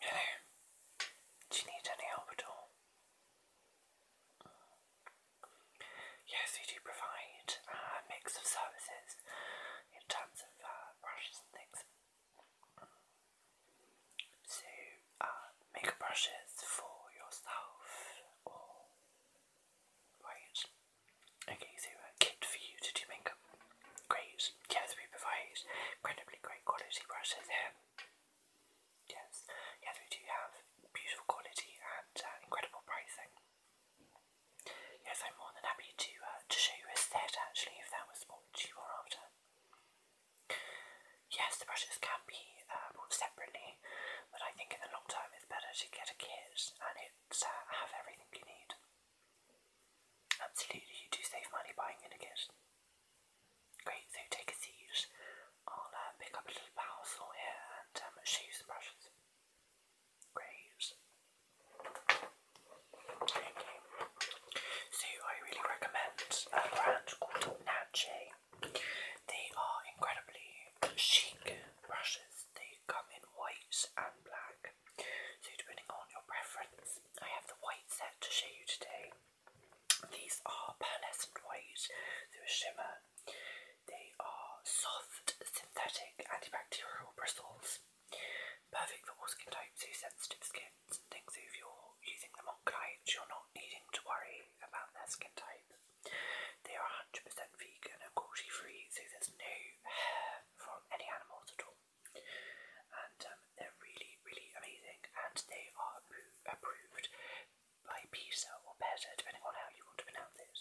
Hello. Do you need any help at all? Yes, we do provide uh, a mix of services in terms of uh, brushes and things. So, uh, brushes for yourself or. Right. Okay, so a uh, kit for you to do makeup. Great. Yeah, we provide incredibly great quality brushes here. Yes, yes, we do have beautiful quality and uh, incredible pricing. Yes, I'm more than happy to uh, to show you a set actually, if that was what you were after. Yes, the brushes can be bought separately, but I think in the long term it's better to get a kit and it have everything you need. Absolutely, you do save money buying in a kit. Great, so take a seat. I'll uh, pick up a little parcel here and um, show you some brushes. Great. So I really recommend a uh, brand called Natche. They are incredibly chic brushes. They come in white and black. So depending on your preference, I have the white set to show you today. These are pearlescent white, they're a shimmer. They are soft, synthetic, antibacterial bristles. Perfect for all skin types, so sensitive skins and things. if you're using them on clients, you're not needing to worry about their skin type. They are 100% vegan and cruelty free, so there's no hair from any animals at all. And um, they're really, really amazing, and they are approved by PISA or better, depending on how you want to pronounce it.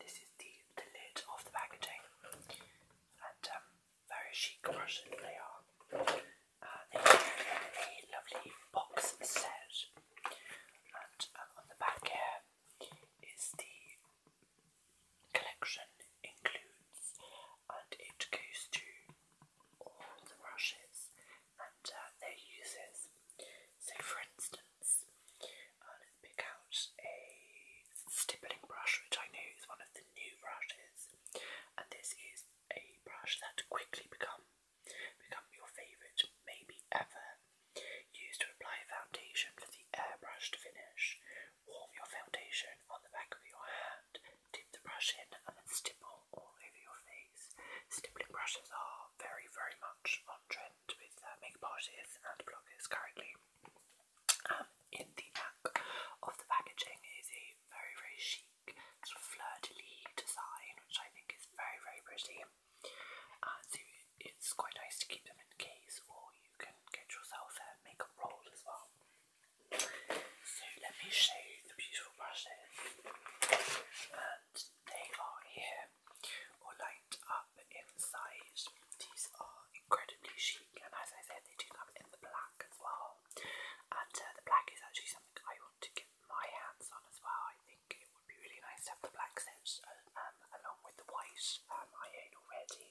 This is the, the lid of the packaging, and um, very chic version they are. Uh, they are a lovely box set, and um, on the back here is the collection includes, and it goes to all the brushes and uh, their uses. So, for instance, I'll pick out a stippling brush, which I know is one of the new brushes, and this is a brush that quickly become become your favourite, maybe ever. Use to apply foundation for the airbrushed finish. Warm your foundation on the back of your hand, dip the brush in, and stipple all over your face. Stippling brushes are very, very much on trend with uh, makeup artists and bloggers currently. Um, in the back of the packaging is a very, very chic sort of fleur de lis design, which I think is very, very pretty. Uh, so it's quite nice to keep them in case, or you can get yourself a makeup roll as well. So let me show you the beautiful brushes, and they are here, all lined up inside. These are incredibly chic, and as I said, they do come in the black as well. And uh, the black is actually something I want to get my hands on as well. I think think it would be really nice to have the black steps uh, um, along with the white um, I own already,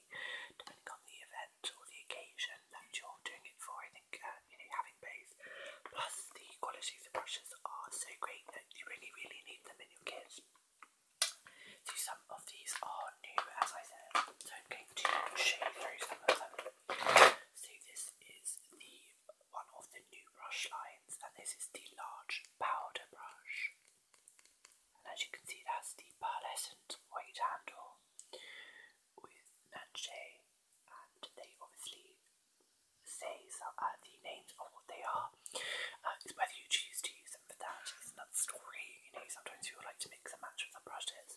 depending on the event or the occasion that you're doing it for. I think uh, you know having both, plus the quality of brushes are so great that you really, really need them in your kit. So some of these are new, as I said. So I'm going to show you through some of them. So this is the one of the new brush lines, and this is the large powder brush. And as you can see, that's the pearlescent white handle with Nanche, and they obviously say so, uh, the names of what they are. Uh, it's whether you choose to use them for that. that is another story. You know, sometimes you would like to mix and match with the brushes.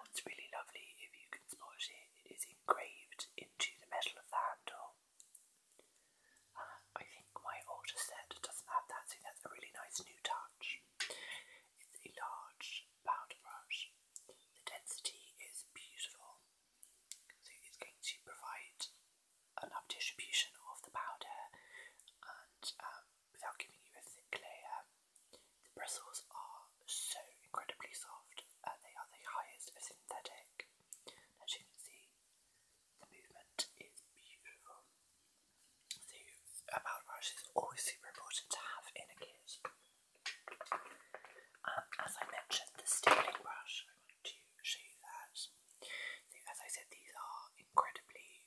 What's really lovely, if you can spot it, it is engraved into the metal of the handle. I think my older set doesn't have that, so that's a really nice new touch. It's a large powder brush. The density is beautiful, so it's going to provide enough distribution of the powder and um, without giving you a thick layer. The bristles are so incredibly soft and they are the highest of synthetic. As you can see, the movement is beautiful. So a mouthwash always super important to have in a kit. Um, as I mentioned, the stippling brush, I want to show that. as I said, these are incredibly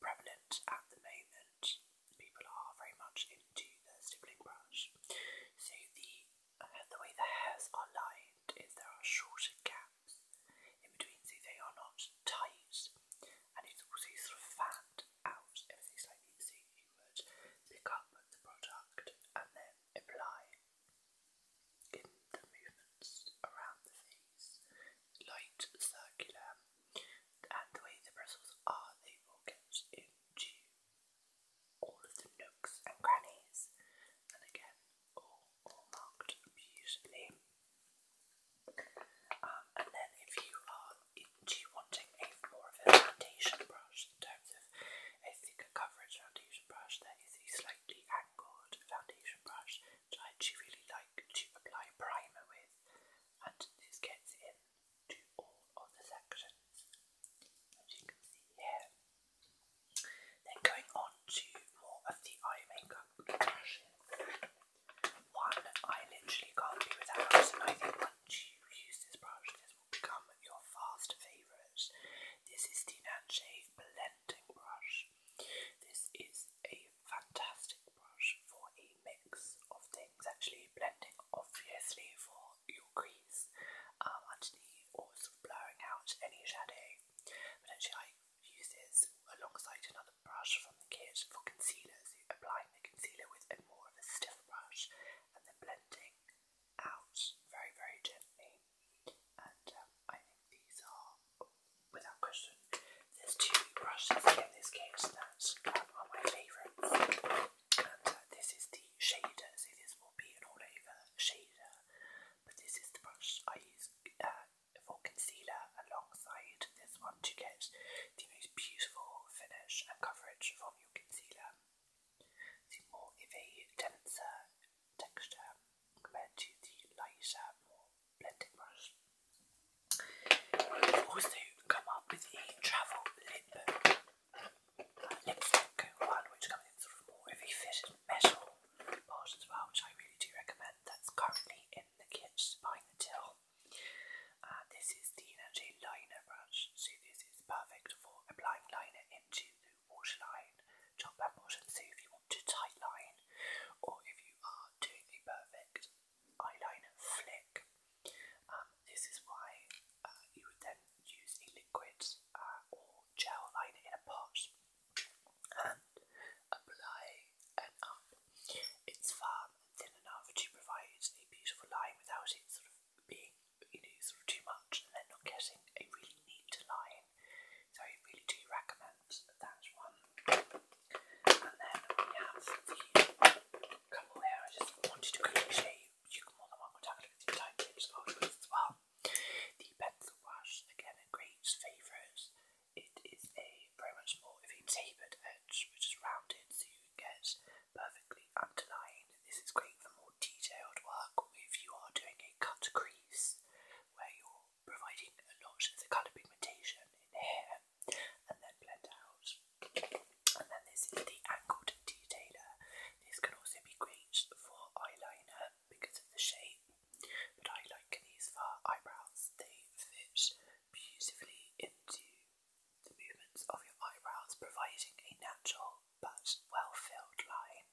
prevalent at the moment. People are very much into the stippling brush. So the the way the hairs are lined is there are shorter gaps in between, so they are not tight, and it's also sort of fanned out you slightly, see, you would pick up the product and then apply in the movements around the face, light, circular, and the way the bristles are, they will get into all of the nooks and crannies, and again, all, all marked beautifully. Um, and then, if you are into wanting a more of a foundation brush in terms of a thicker coverage foundation brush, there is a slightly angled foundation brush which I actually really like to apply primer with, and this gets in to all of the sections, as you can see here. Then going on to more of the eye makeup One I literally can't do without, and once you use this brush, this will become your fast favourite. This is the Nanche Blending Brush. This is a fantastic brush for a mix of things, actually blending obviously for your crease, um, underneath or sort of blurring out any shadow. But actually I use this alongside another brush from the kit for concealers, applying the concealer with a more of a stiff brush and then blending out very very gently. And um, I think these are, without question, there's two brushes in this case that um, are my favourites. And this is the shader, so this will be an all over shader, but this is the brush I use uh, for concealer alongside this one to get the most beautiful finish and coverage from your concealer. The more of denser texture compared to the lighter, more blending brush. also come up with a travel lip like lipstick one, which comes in sort of more heavy fitted metal bars as well, which I really do recommend. That's currently in the kit behind the till. Uh, this is the Energy Liner Brush, See, this is perfect for applying liner into the waterline, top and bottom. So if you want to tight line, or if you are doing a perfect eyeliner flick, um, this is why uh, you would then use a liquid uh, or gel liner in a pot and apply an up. It's firm thin enough to provide a beautiful line without it sort of being, you know, sort of too much and then not getting a really neat line. So I really do recommend that one. And then we have the here I just wanted to show you you, you can more than welcome to time well. The pencil wash, again a great favourite. It is a very much more tapered edge which is rounded so you get perfectly underlined. This is great for more detailed work or if you are doing a cut crease where you're providing a lot of the colour pigmentation in here and then blend out and then this is the angled detailer. This can also be great for eyeliner because of the shape, but I like these for eyebrows. They fit beautifully into the movements of your eyebrows, providing a natural but well-filled line.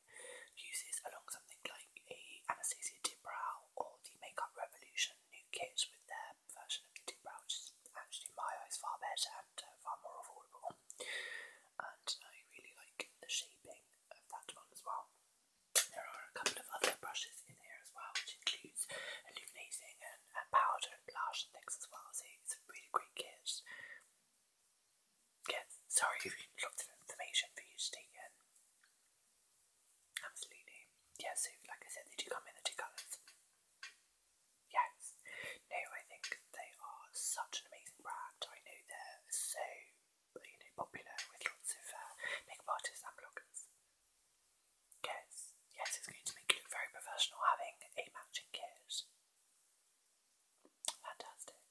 Uses along something like a Anastasia Dibrow or the Makeup Revolution new kit with their their um, version of the Brow, is actually in my eyes far better and uh, far more affordable. And I really like the shaping of that one as well. There are a couple of other brushes in here as well, which includes illuminating and, powder and blush things as well. So it's a really great kit. Yes, sorry if you of information for you to take in. Absolutely. Yeah, like I said, they do come in the two colours. Yes. No, I think they are such an amazing brand. I know they're so you know popular with lots of uh, makeup artists and bloggers. Yes, yes, it's going to make you look very professional having a matching kit. Fantastic.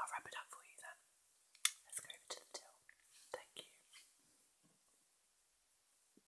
I'll wrap it up for you then. Let's go over to the till. Thank you.